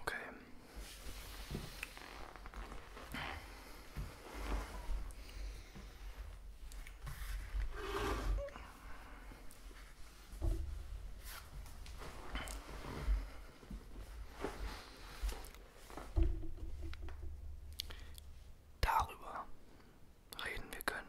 Okay. Darüber reden wir können.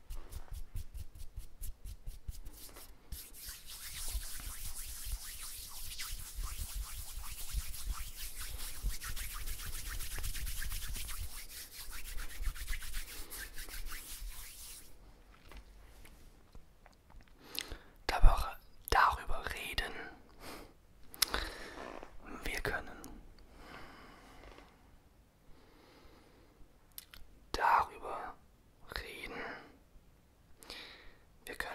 Darüber, darüber reden. Wir können darüber reden. Wir können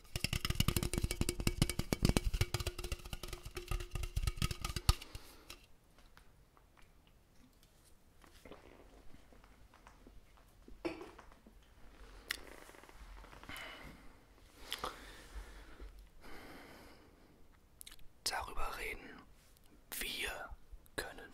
Darüber reden wir können.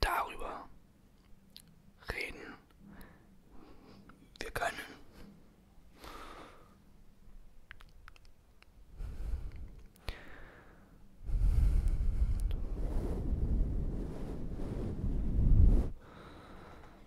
Darüber reden wir können.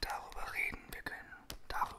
darüber reden, wir können darüber.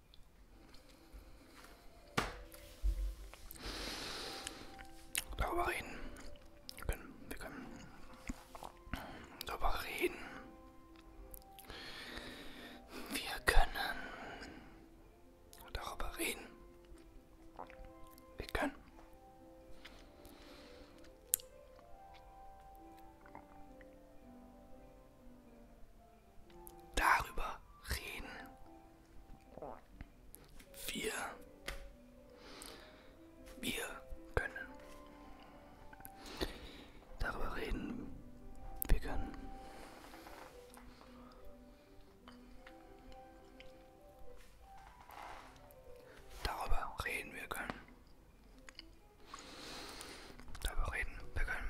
Darüber reden. Wir können, wir können darüber reden. Wir können darüber reden. Wir können darüber reden. Wir, wir können darüber reden. Wir können. Darüber reden wir können. Darüber reden wir können.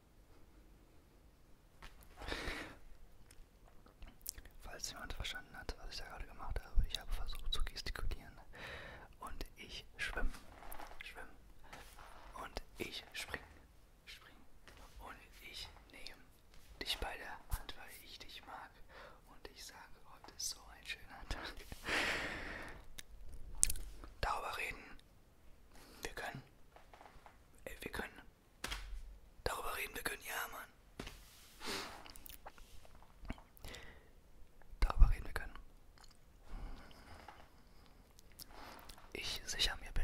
Falls jemand verstanden hat, was ich da gerade gemacht habe, ich habe versucht zu gestikulieren und ich schwimme, schwimme und ich springe, springe und ich nehme dich bei der Hand, weil ich dich mag und ich sage, heute ist so ein schöner Tag. Darüber reden wir können. Ey, wir können. Darüber reden, wir können. Ja, Mann. Darüber reden wir können. Ich sicher mir bin.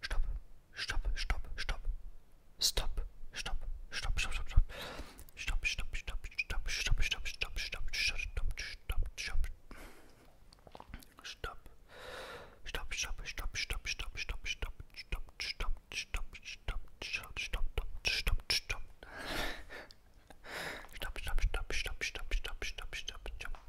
Stopp, stopp, stopp, stopp. Stopp, stopp, stopp, stopp, stopp, stopp. Stopp, stopp, stopp, stopp, stopp, stopp, stopp, stopp, stopp, stopp, stopp, stopp. Stopp. Stopp, stopp, stopp, stopp, stopp, stopp, stopp, stopp, stopp, stopp, stopp, stopp, stopp, stopp, stopp, stopp. Stopp, stopp, stopp, stopp, stopp, stopp, stopp, stopp, stopp.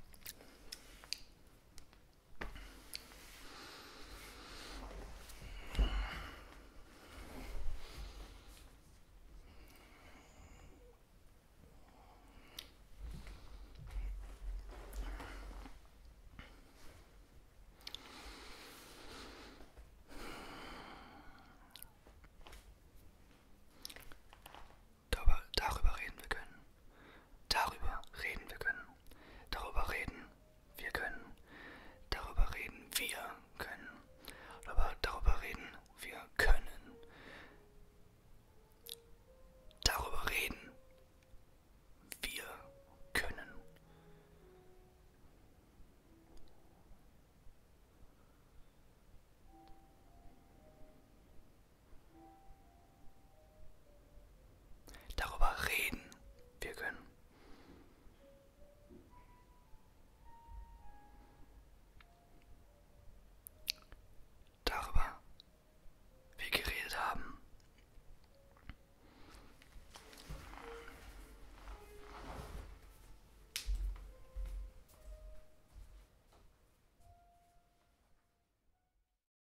Darüber reden wir können. Darüber reden wir können. Darüber reden wir können. Darüber reden wir können. Aber darüber reden wir können. Darüber reden wir können. Darüber reden wir können. Darüber wir geredet haben.